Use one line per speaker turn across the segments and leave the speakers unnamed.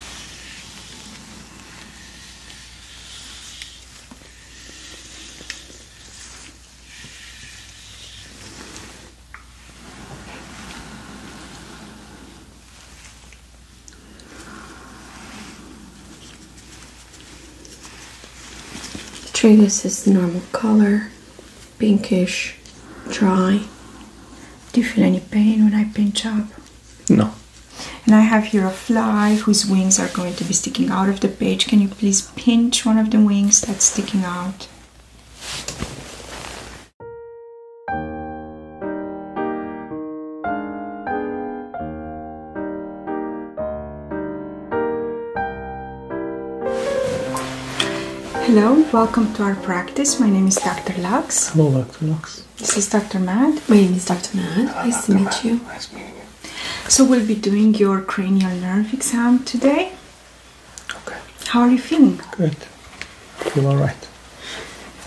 The Tragus is
normal color, pinkish, dry. Do you feel any pain when I pinch up? No. And I have here a fly whose wings are going to be sticking out of the page. Can you please pinch one of the wings that's sticking out? Hello, welcome to our practice. My name is Dr. Lux. Hello, Dr. Lux. This is Dr. Mad. My name is Dr. Mad. Uh, nice to meet you. Nice meeting you. So we'll be doing your cranial nerve exam today. Okay. How are you feeling? Good. I feel all right.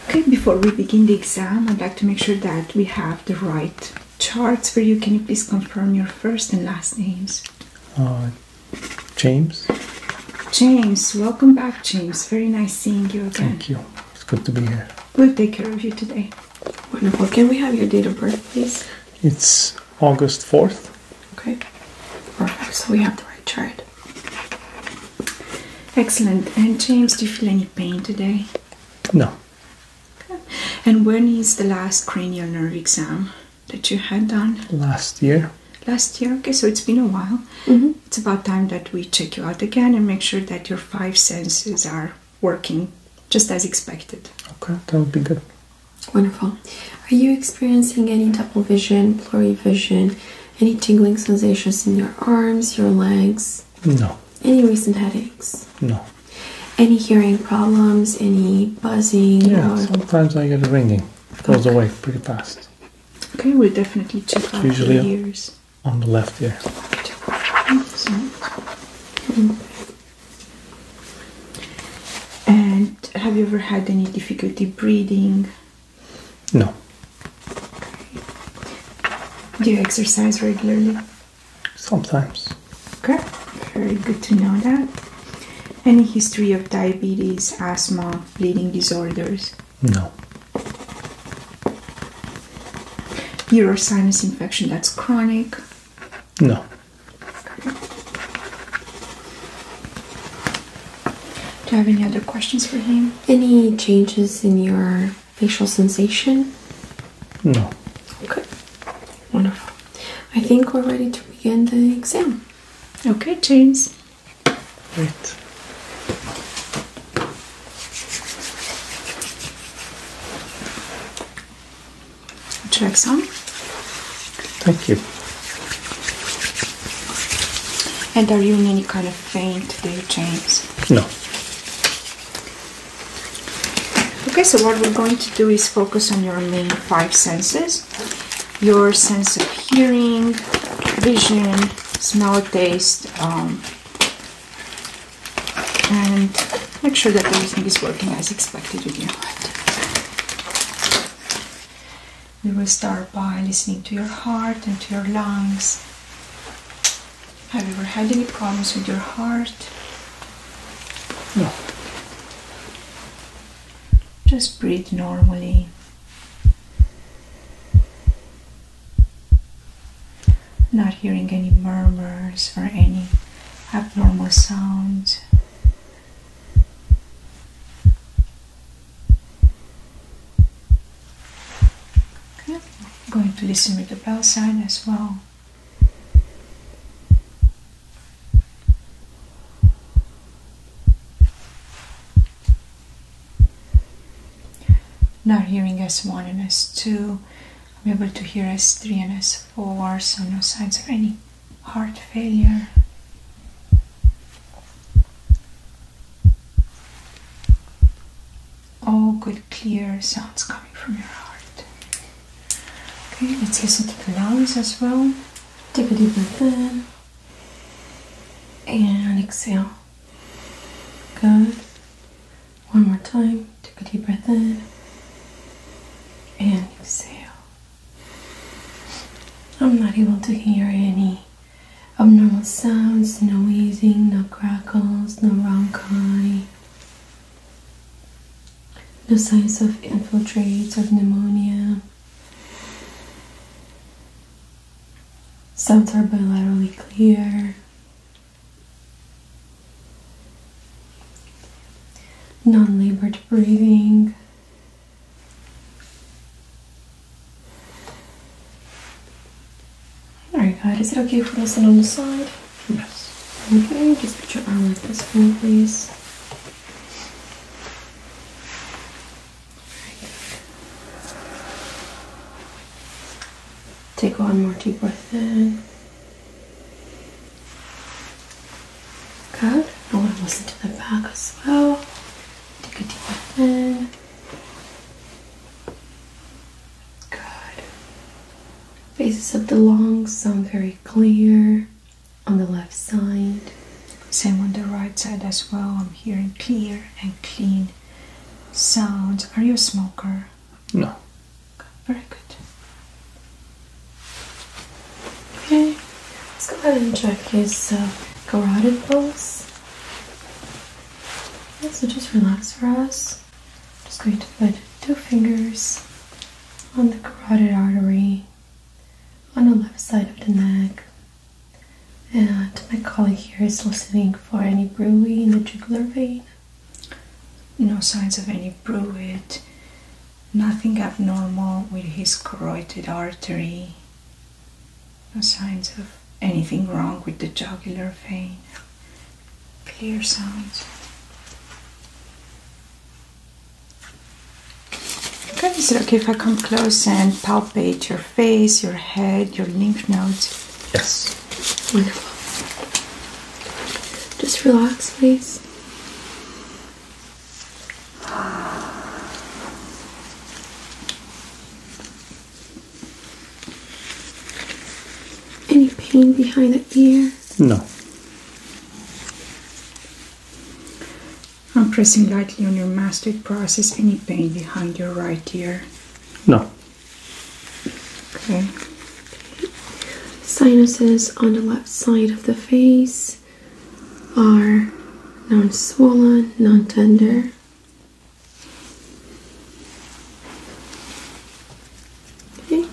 Okay, before we begin the exam, I'd like to make sure that we have the right charts for you. Can you please confirm your first and last names?
Uh, James.
James, welcome back, James. Very nice seeing you again.
Thank you. It's good to be here.
We'll take care of you today. Wonderful. Can we have your date of birth, please?
It's August 4th.
Okay. Perfect. So we have the right chart. Excellent. And James, do you feel any pain today? No. Okay. And when is the last cranial nerve exam that you had done? Last year. Last year? Okay, so it's been a while. -hmm it's about time that we check you out again and make sure that your five senses are working just as expected. Okay, that would be good.
Wonderful. Are you experiencing any double vision, blurry vision, any tingling sensations in your arms, your legs? No. Any recent headaches? No. Any hearing problems, any buzzing? Yeah, sometimes I get a ringing. It goes away pretty fast.
Okay, we'll definitely check out your ears
on the left here.
And have you ever had any difficulty breathing? No. Do you exercise regularly? Sometimes. Okay, very good to know that. Any history of diabetes, asthma, bleeding disorders? No. Ear sinus infection that's chronic?
No. Do you have any other questions for him? Any changes in your facial sensation? No. Okay. Wonderful. I think we're ready to begin the exam. Okay, James.
Right. Check some. Thank you. And are you in any kind of pain today, James? No. Okay, so what we're going to do is focus on your main five senses. Your sense of hearing, vision, smell, taste, um, and make sure that everything is working as expected with We will start by listening to your heart and to your lungs. Have you ever had any problems with your heart? No. Just breathe normally. Not hearing any murmurs or any abnormal sounds. going to listen with the bell sign as well. Now hearing S1 and S2, I'm able to hear S3 and S4, so no signs of any heart failure. All good clear sounds coming from your heart. Okay, let's listen to the lungs as well. Take a deep breath in and exhale.
Good. One more time. Take a deep breath in and exhale. I'm not able to hear any abnormal sounds, no wheezing, no crackles, no ronchi, no signs of infiltrates of pneumonia. Sounds are bilaterally clear. Non labored breathing. Alright, good. is it okay if we sit on the side? Yes. Okay, just put your arm like this for please. Take one more deep breath in. Good. I want to listen to the back as well. Take a deep breath in. Good. Bases of the lungs
sound very clear on the left side. Same on the right side as well. I'm hearing clear and clean Sound. Are you a smoker? No. very good.
Okay, let's go ahead and check his uh, carotid pulse. so just relax for us. just going to put two fingers on the carotid artery on the left side of the neck. And my colleague here is listening for any bruit
in the jugular vein. No signs of any bruit, nothing abnormal with his carotid artery, no signs of anything wrong with the jugular vein. Clear sounds. Okay, is it okay if I come close and palpate your face, your head, your lymph nodes. Yes. Just relax, please. Any pain behind the ear? No. I'm pressing lightly on your mastoid process. Any pain behind your right ear? No. Okay.
Sinuses on the left side of the face are non swollen, non tender. Okay.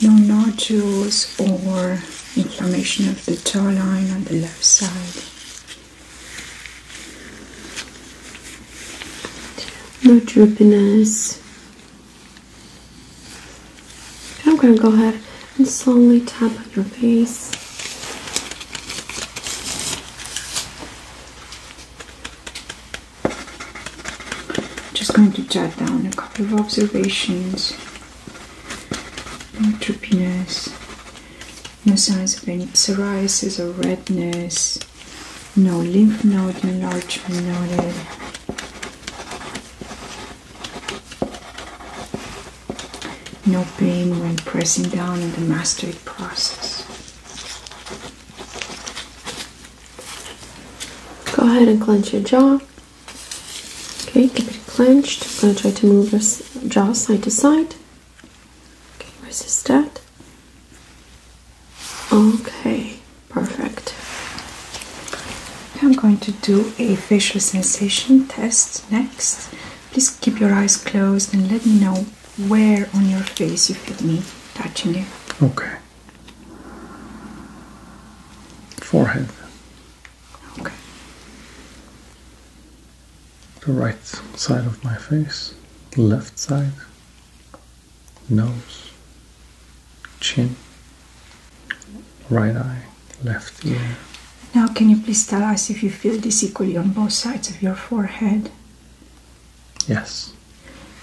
No nodules or inflammation of the tear line on the left side. No
droopiness. I'm going to go ahead and slowly tap on your face.
I'm just going to jot down a couple of observations no neutropenness, no signs of any psoriasis or redness, no lymph node enlargement No pain when pressing down in the mastoid process.
Go ahead and clench your jaw. Okay, keep it clenched. I'm going to try to move your jaw side to side. Okay, resist that.
Okay, perfect. I'm going to do a facial sensation test next. Please keep your eyes closed and let me know where on your face you feel me touching it. Okay. Forehead. Okay.
The right side of my face, left side, nose, chin, right eye, left ear.
Now, can you please tell us if you feel this equally on both sides of your forehead? Yes.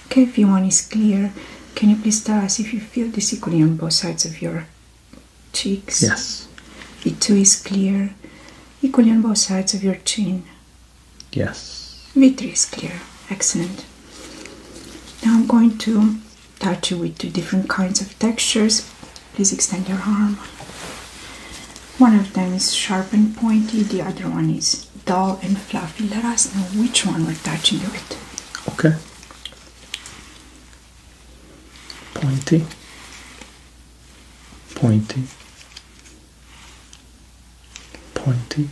Okay, if your one is clear, can you please tell us if you feel this equally on both sides of your cheeks? Yes. The two is clear, equally on both sides of your chin. Yes. V3 is clear. Excellent. Now I'm going to touch you with two different kinds of textures. Please extend your arm. One of them is sharp and pointy, the other one is dull and fluffy, let us know which one we're touching with.
Okay. Pointy, pointy, pointy,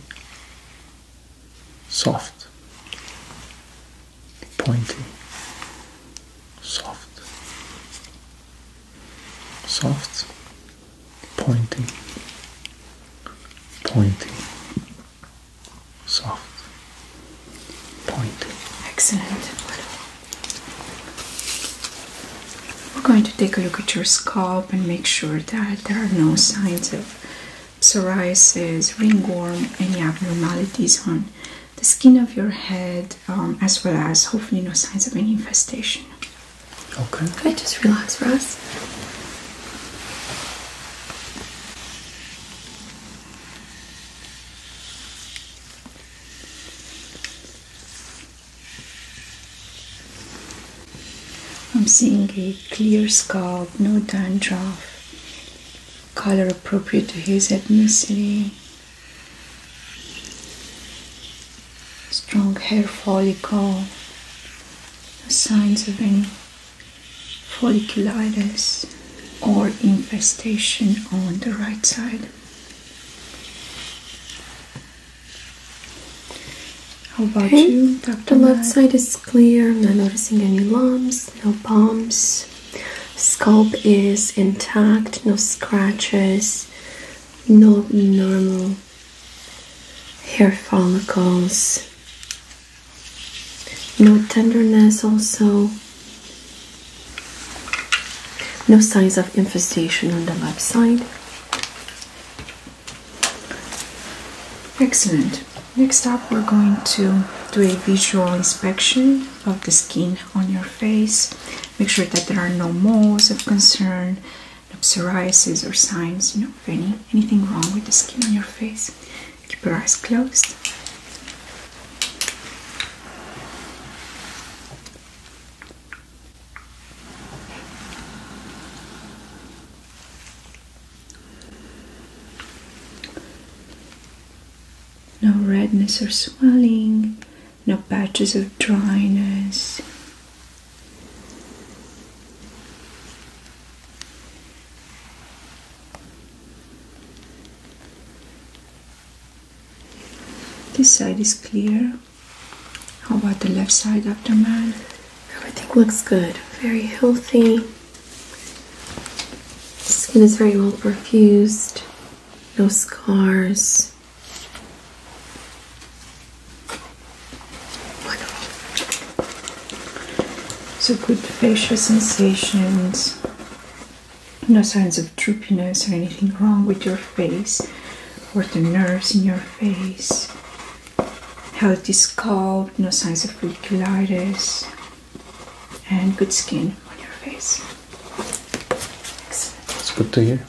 soft, pointy, soft, soft pointing, pointing, soft, pointing. Excellent. We're going to take a look at your scalp and make sure that there are no signs of psoriasis, ringworm, any abnormalities on the skin of your head, um, as well as hopefully no signs of any infestation. Okay. I just relax for us. I'm seeing a clear scalp, no dandruff, color appropriate to his ethnicity strong hair follicle, signs of any folliculitis or infestation on the right side.
How about you, Dr. The left side is clear, i not noticing any lumps, no bumps. Scalp is intact, no scratches, no abnormal hair follicles. No tenderness, also. No signs of infestation on the left
side. Excellent. Next up, we're going to do a visual inspection of the skin on your face. Make sure that there are no moles of concern no psoriasis or signs, you know, any anything wrong with the skin on your face. Keep your eyes closed. No redness or swelling, no patches of dryness, this side is clear. How about the left side of the Everything looks good. Very healthy. Skin is very
well perfused. No scars.
So good facial sensations, no signs of droopiness or anything wrong with your face or the nerves in your face. Healthy scalp, no signs of folliculitis, and good skin on your face.
Excellent. It's good to hear.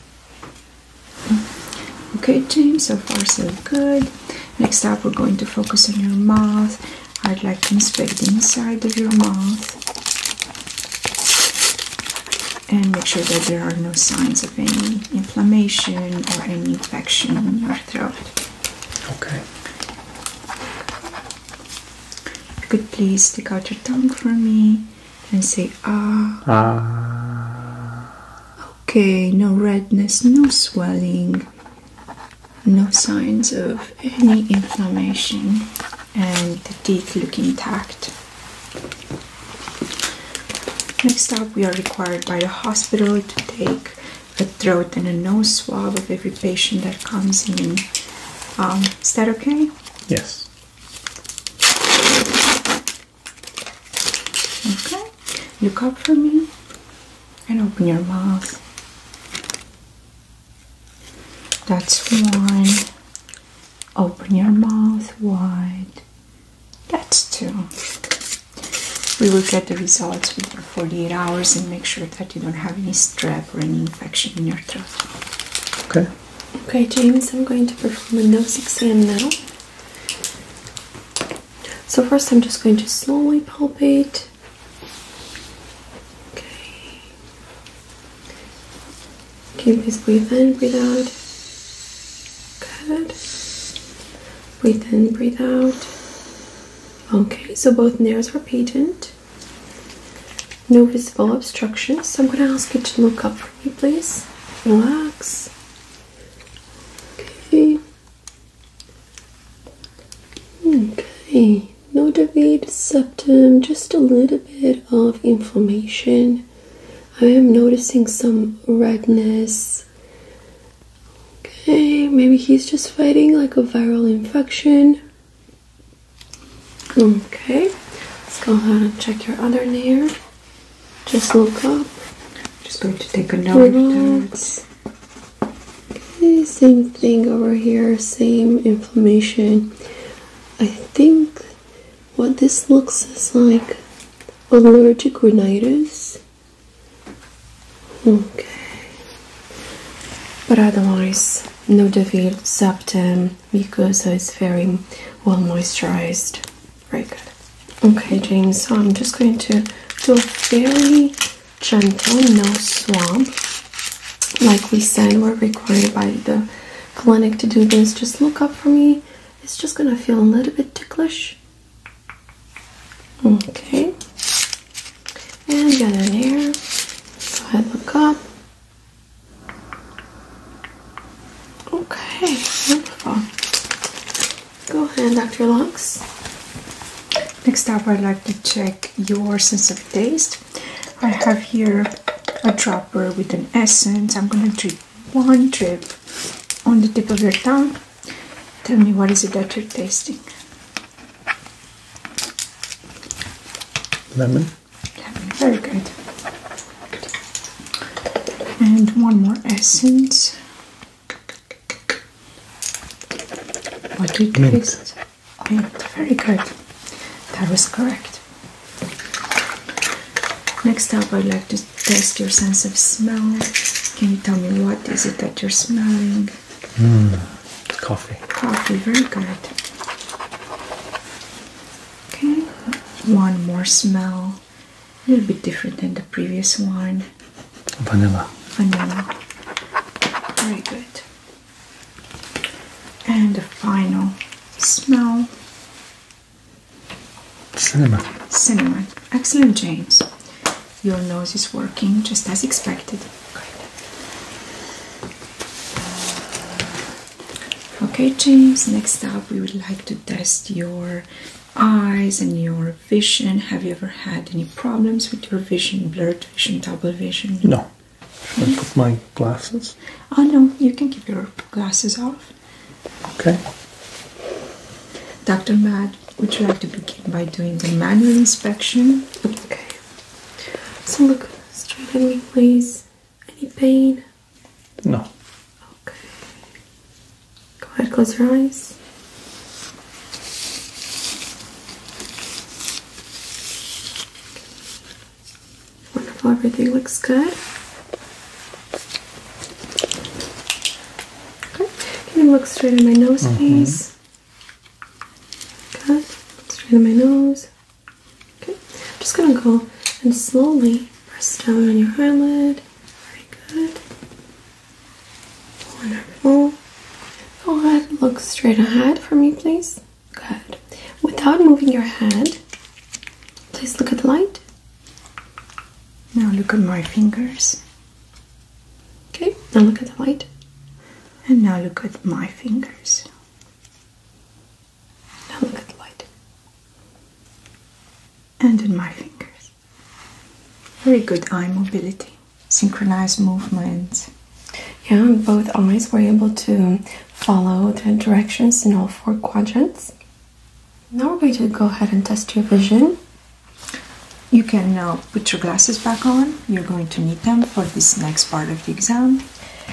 Okay, James, so far so good. Next up, we're going to focus on your mouth. I'd like to inspect the inside of your mouth and make sure that there are no signs of any inflammation or any infection in your throat. Okay. could please stick out your tongue for me and say ah.
Ah.
Okay, no redness, no swelling, no signs of any inflammation, and the teeth look intact. Next up, we are required by the hospital to take a throat and a nose swab of every patient that comes in. Um, is that okay? Yes. Okay, you up for me and open your mouth. That's one. Open your mouth wide. That's two. We will get the results within 48 hours and make sure that you don't have any strep or any infection in your throat. Okay. Okay, James, I'm going to perform a nose exam now.
So, first, I'm just going to slowly palpate. Okay. Okay, please breathe in, breathe out. Good. Breathe in, breathe out. Okay, so both nares are patent. No visible obstruction. So I'm going to ask you to look up for me, please. Relax. Okay. Okay. Notabate septum, just a little bit of inflammation. I am noticing some redness. Okay, maybe he's just fighting like a viral infection. Okay, let's go ahead and check your other nerve. Just look up.
Just going to take a note.
Okay, same thing over here, same inflammation. I think what this looks is like allergic rhinitis. Okay. But otherwise, no developed septum mucosa it's very well moisturized. Very good. Okay, James, so I'm just going to do a very gentle no swab. Like we said, we're required by the clinic to do this. Just look up for me. It's just going to feel a little bit ticklish. Okay. And the other ear. Go ahead, look up. Okay, wonderful. Go ahead,
Dr. Lux. Next up, I'd like to check your sense of taste. I have here a dropper with an essence. I'm gonna drip one drip on the tip of your tongue. Tell me what is it that you're tasting? Lemon. Lemon, very good and one more essence. What did you taste? Very good. That was correct. Next up, I'd like to test your sense of smell. Can you tell me what is it that you're smelling? Mm, coffee. Coffee. Very good. Okay. One more smell a little bit different than the previous one. Vanilla. Vanilla. Very good. And the final smell. Cinnamon. Cinnamon. Excellent, James. Your nose is working just as expected. Okay, James, next up we would like to test your eyes and your vision. Have you ever had any problems with your vision, blurred vision, double vision?
No. Should I put my
glasses? Oh no, you can keep your glasses off. Okay. Dr. Mad, would you like to begin by doing the manual inspection? Okay. So look straight in me, please. Any pain? No.
Okay. Go ahead, close your eyes. Wonderful, everything looks good. Okay. Can you look straight at my nose, mm-hmm. please? Good. Straight at my nose. Okay. I'm just gonna go and slowly press down on your eyelid. Very good. Wonderful. Go ahead, look straight ahead for me, please. Good. Without moving your head, please look at the light.
Now look at my fingers. Okay, now look at the light. And now look at my fingers. Now look at the light and in my fingers. Very good eye mobility, synchronized movement. Yeah,
both eyes were able to follow the directions in all four quadrants.
Now we're going to go ahead and test your vision. You can now put your glasses back on. You're going to need them for this next part of the exam.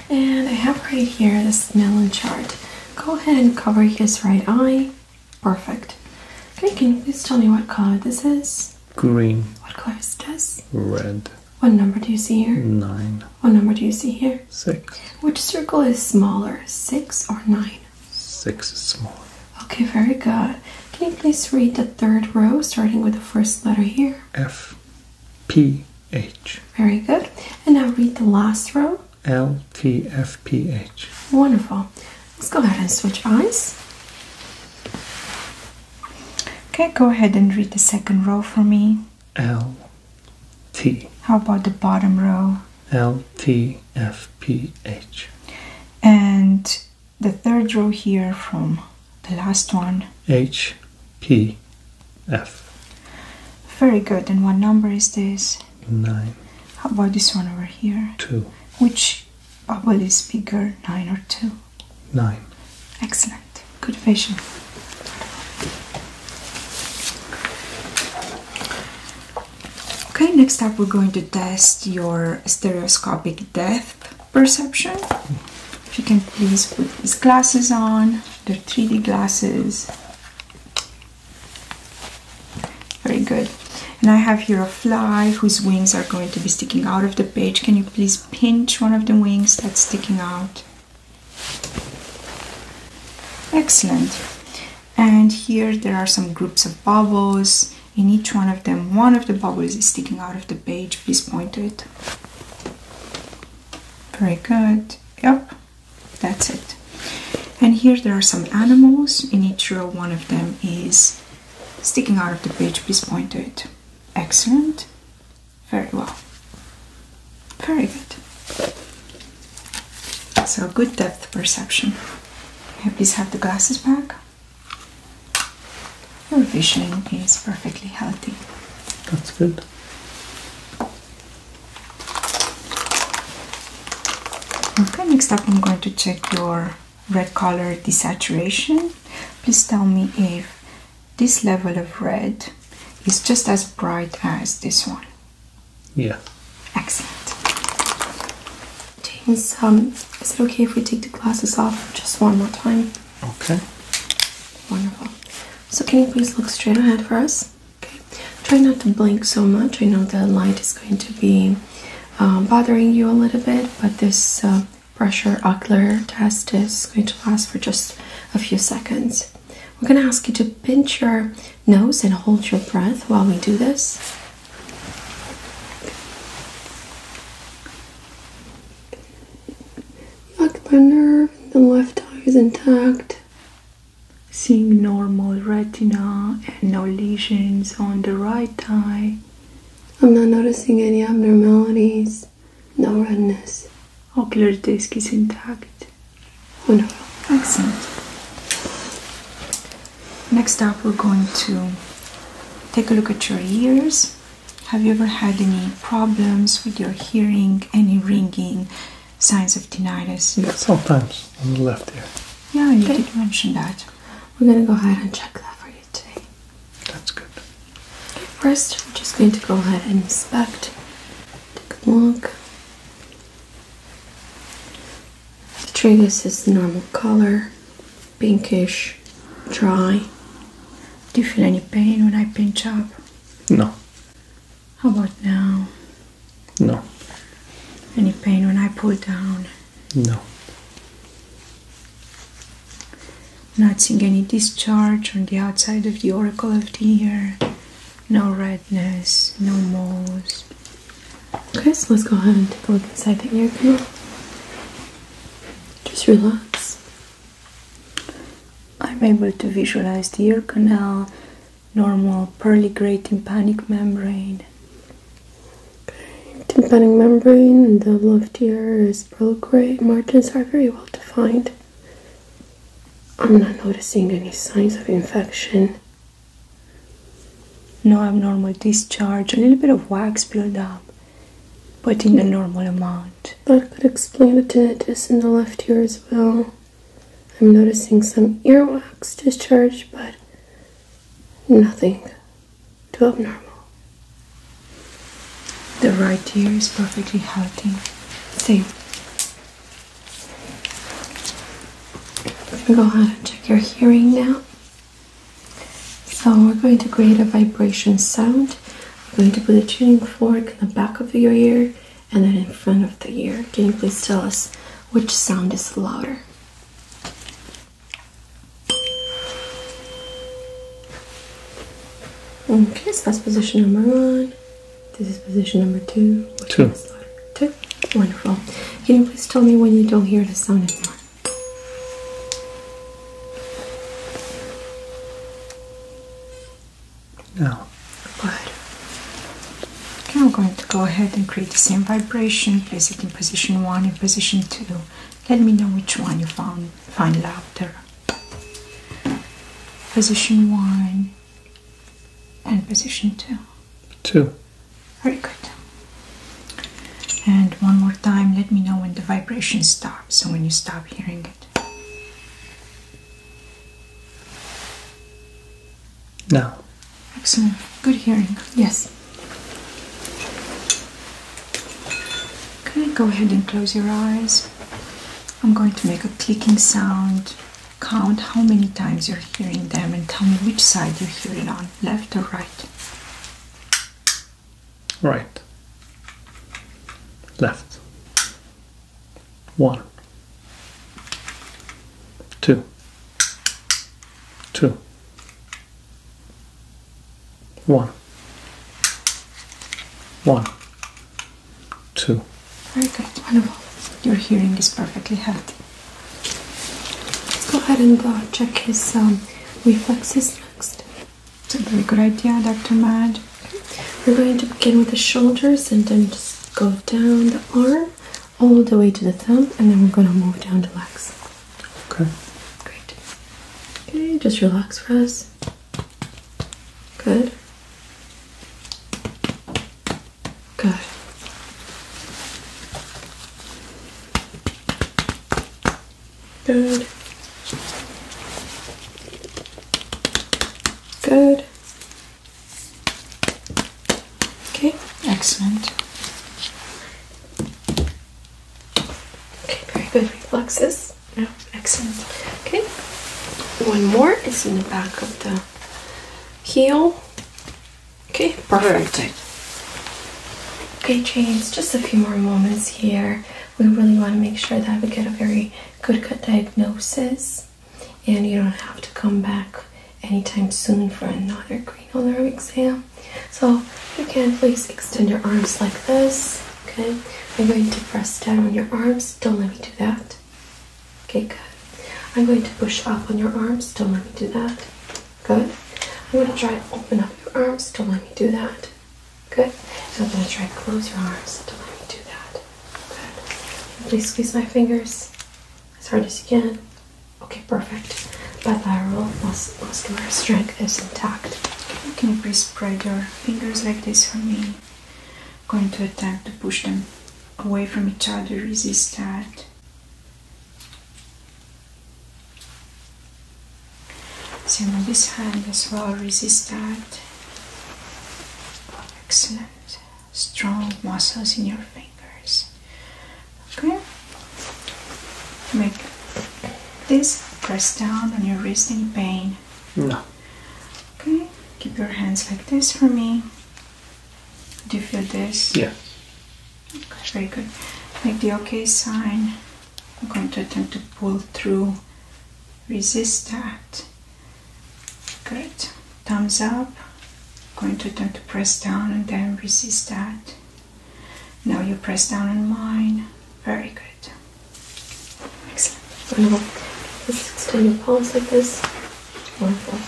And I have right here the Snellen chart. Go ahead and cover his right eye.
Perfect. Okay, can you please tell me what color this is? Green. What color is this? Red. What number do you see here? Nine. What number do you see here? Six. Which circle is smaller, six or nine?
Six is smaller.
Okay, very good. Can you please read the third row, starting with the first letter here? F, P, H. Very good. And now read the last row. LTFPH.
Wonderful. Let's go ahead and switch eyes. Okay, go ahead and read the second row for me. L T. How about the bottom row?
L T F P H.
And the third row here from the last one.
H P F.
Very good. And what number is this? Nine. How about this one over here? Two. Which bubble is bigger, nine or two? Nine. Excellent. Good vision. Okay, next up we're going to test your stereoscopic depth perception. If you can please put these glasses on, The 3D glasses. Very good. And I have here a fly whose wings are going to be sticking out of the page. Can you please pinch one of the wings that's sticking out? Excellent. And here there are some groups of bubbles. In each one of them, one of the bubbles is sticking out of the page. Please point to it. Very good. Yep. That's it. And here there are some animals. In each row, one of them is sticking out of the page. Please point to it. Excellent. Very well. Very good. So, good depth perception. Can please have the glasses back? Your vision is perfectly healthy. That's good. Okay, next up I'm going to check your red color desaturation. Please tell me if this level of red is just as bright as this one.
Yeah. Excellent.
Is, um, is
it okay if we take the glasses off just one more time? Okay. Wonderful. So can you please look straight ahead for us? Okay, try not to blink so much. I know the light is going to be uh, bothering you a little bit, but this uh, pressure ocular test is going to last for just a few seconds. We're going to ask you to pinch your nose and hold your breath while we do this.
nerve the left eye is intact seeing normal retina and no lesions on the right eye. I'm not
noticing any abnormalities, no redness. Ocular disc is
intact. Wonderful. Excellent. Next up, we're going to take a look at your ears. Have you ever had any problems with your hearing, any ringing? signs of tinnitus. Yeah, sometimes on the left ear. Yeah, you did mention that. We're gonna go ahead and check that for you today.
That's good. Okay, first, we're just going to go ahead and inspect. Take a look. The tragus is normal color, pinkish, dry.
Do you feel any pain when I pinch up? No. How about now? No. Any pain when I pull down? No. Not seeing any discharge on the outside of the oracle of the ear. No redness, no moles. Okay, so let's go ahead and take a look inside the ear canal. Just relax. I'm able to visualize the ear canal, normal perligray tympanic membrane.
Tympanic membrane in the left ear is perligray. Margins are very well defined. I'm not noticing any signs of infection. No abnormal discharge, a little bit of wax buildup, but in a normal
amount.
That could explain the tinnitus in the left ear as well. I'm noticing some earwax discharge, but nothing too abnormal.
The right ear is perfectly healthy. Same.
Go ahead and check your hearing now. So we're going to create a vibration sound. I'm going to put a tuning fork in the back of your ear and then in front of the ear. Can you please tell us which sound is louder? Okay, so that's position number one. This is position number two. two. two. Wonderful. Can you please tell me when you don't hear the
sound anymore? No. Okay, I'm going to go ahead and create the same vibration. Place it in position one and position two. Let me know which one you found find louder. Position one and position two. Two. Very good. And one more time, let me know when the vibration stops. So when you stop hearing it. No. Excellent. Good hearing. Yes. Okay, go ahead and close your eyes. I'm going to make a clicking sound. Count how many times you're hearing them and tell me which side you hear it on left or right.
Right. Left. One two, two, one, one,
two. Very good, wonderful. Your hearing is perfectly healthy. Let's go ahead and check his um, reflexes
next. It's a very good idea, Dr. Mad. We're going to begin with the shoulders and then just go down the arm all the way to the thumb, and then we're gonna move down to legs. Okay. Great. Okay, just relax for us. Good. Good. Good.
Good. Okay, excellent.
Okay, very good reflexes. Yeah, excellent. Okay, one more is in the back of the heel. Okay,
perfect.
Okay, James, just a few more moments here. We really want to make sure that we get a very good diagnosis and you don't have to come back anytime soon for another green alarm exam. So you can please extend your arms like this. Okay, I'm going to press down on your arms. Don't let me do that. Okay, good. I'm going to push up on your arms. Don't let me do that. Good. I'm going to try to open up your arms. Don't let me do that. Good. I'm going to try to close your arms. Don't let me do that. Good. please squeeze my fingers.
As hard as you can. Okay, perfect. Bilateral mus muscular strength is intact. Okay, can you spread your fingers like this for me? going to attempt to push them away from each other. Resist that. Same on this hand as well. Resist that. Excellent strong muscles in your fingers. Okay? Make this press down on your wrist any pain. No. Okay, keep your hands like this for me. Do you feel this? Yeah. Okay, very good. Make the okay sign. I'm going to attempt to pull through. Resist that. Good thumbs up going to attempt to press down and then resist that now you press down on mine very good excellent let's extend your palms like this wonderful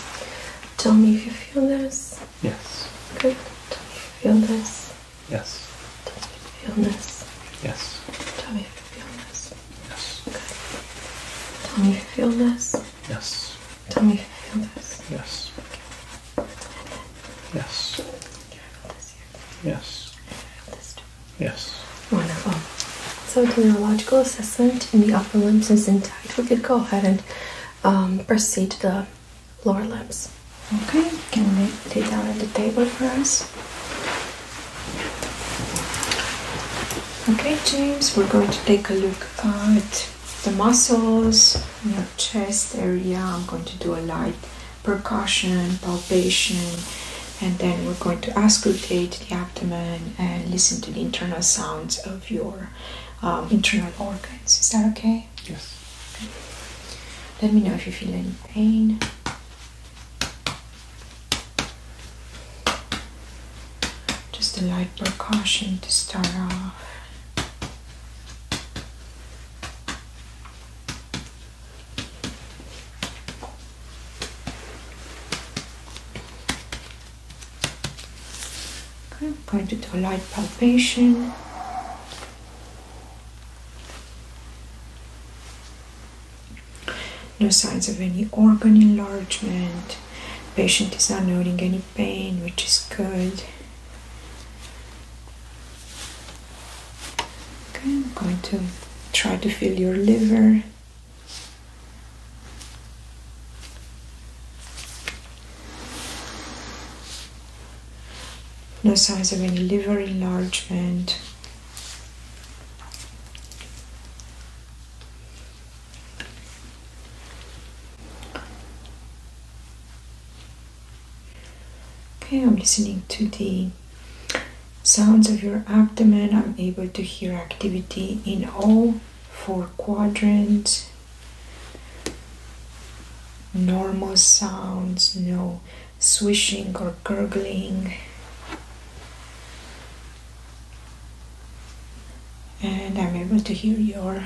tell me if you feel this yes good tell me you feel this yes tell me if you feel this yes tell me if you feel this yes good tell me if you feel this Yes. Tell me if you feel
this. Yes. Okay. Yes. Yes.
Yes. Wonderful. So the neurological assessment in the upper limbs is intact. We could go ahead and um, proceed to the lower limbs.
Okay. Can we lay down at the table for us? Okay, James, we're going to take a look at the muscles in your chest area. I'm going to do a light percussion, palpation, and then we're going to auscultate the abdomen and listen to the internal sounds of your um, internal organs. Is that okay? Yes. Let me know if you feel any pain. Just a light percussion to start off. I'm going to do a light palpation. no signs of any organ enlargement. Patient is not noting any pain, which is good. Okay, I'm going to try to feel your liver. No signs of any liver enlargement. Okay, I'm listening to the sounds of your abdomen. I'm able to hear activity in all four quadrants. Normal sounds, no swishing or gurgling and I'm able to hear your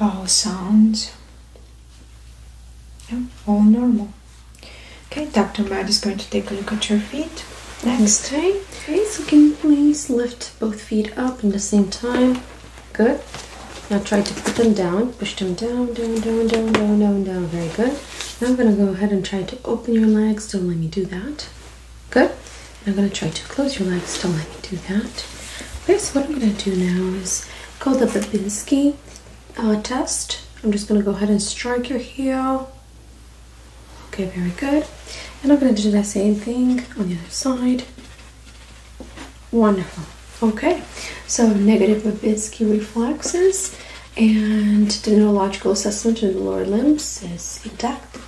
vowel sounds. all normal. Okay, Dr. Matt is going to take a look at your feet. Next. Okay. okay, so can
you please lift both feet up at the same time? Good. Now try to put them down. Push them down, down, down, down, down, down, down. Very good. Now I'm going to go ahead and try to open your legs. Don't let me do that. Good. I'm going to try to close your legs. Don't let me do that. Okay, so what I'm going to do now is called the Babinski uh, test. I'm just going to go ahead and strike your heel. Okay, very good. And I'm going to do the same thing on the other side. Wonderful. Okay, so negative Babinski reflexes and the neurological assessment of the lower limbs is intact.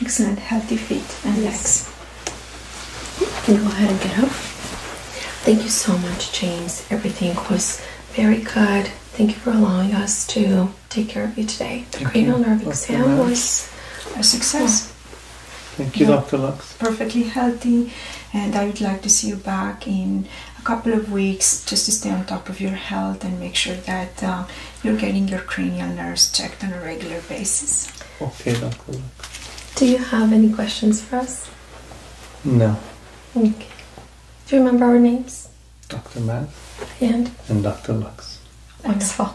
Excellent, healthy feet and legs. You can go ahead and get up. Thank you so much, James. Everything was very good. Thank you for allowing us to
take care of you today. The cranial nerve exam was a success.
Thank you, Dr. Lux.
Perfectly healthy, and I would like to see you back in a couple of weeks just to stay on top of your health and make sure that uh, you're getting your cranial nerves checked on a regular basis. Okay, Dr. Do you have any
questions for us? No. Okay. Do you remember our names? Dr. Matt and, and Dr. Lux. Wonderful.